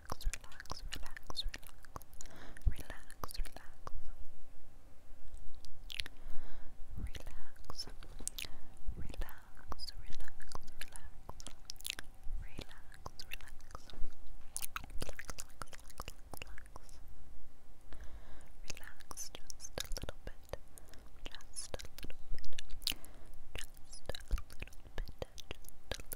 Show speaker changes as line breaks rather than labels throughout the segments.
relax, relax, relax, relax, relax, relax, relax, relax. Relax, relax, relax, relax, relax, relax, just a little bit, just a little bit, just a little bit, just a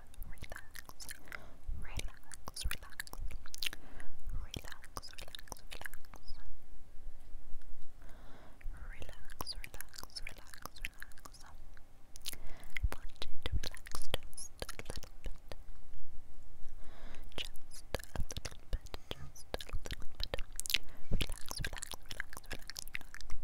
relax, relax, relax, relax, relax, relax, relax, relax. I want you to relax just a little bit. Just a little bit, just a little bit. Relax, relax, relax, relax, relax.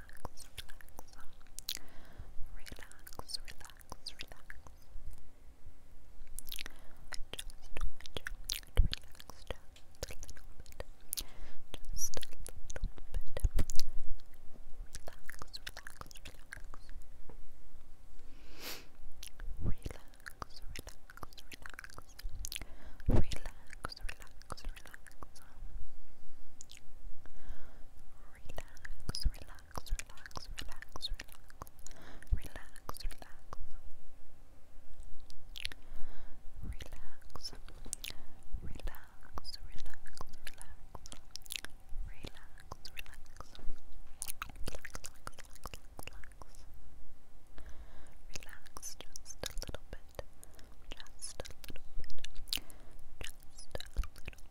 relax, relax, relax. I just want you to relax just a little bit. Just a little bit. Relax, relax, relax. Relax, relax, relax. Relax, relax, relax. Relax, relax, relax. Relax, relax, relax, relax, relax, relax, relax. Relax, relax, relax, relax. Relax, relax, relax, relax, relax, relax. Relax just a little bit, just a little bit, just a little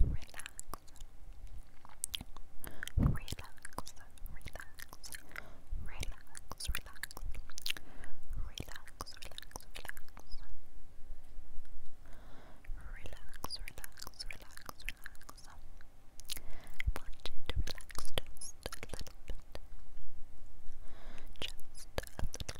Relax. Relax. Relax. Relax. Relax. Relax, relax, relax. Relax, relax, relax, relax. I want you to relax just a little bit. Just a little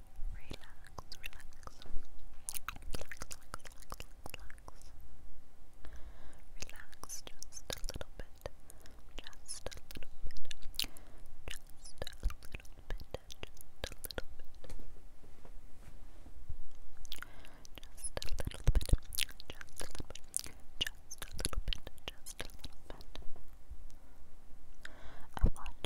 relax, relax, relax, relax, relax, relax, just a little bit, just a little bit, just a little bit, just a little bit, just a little bit, just a little bit, just a little bit, just a little bit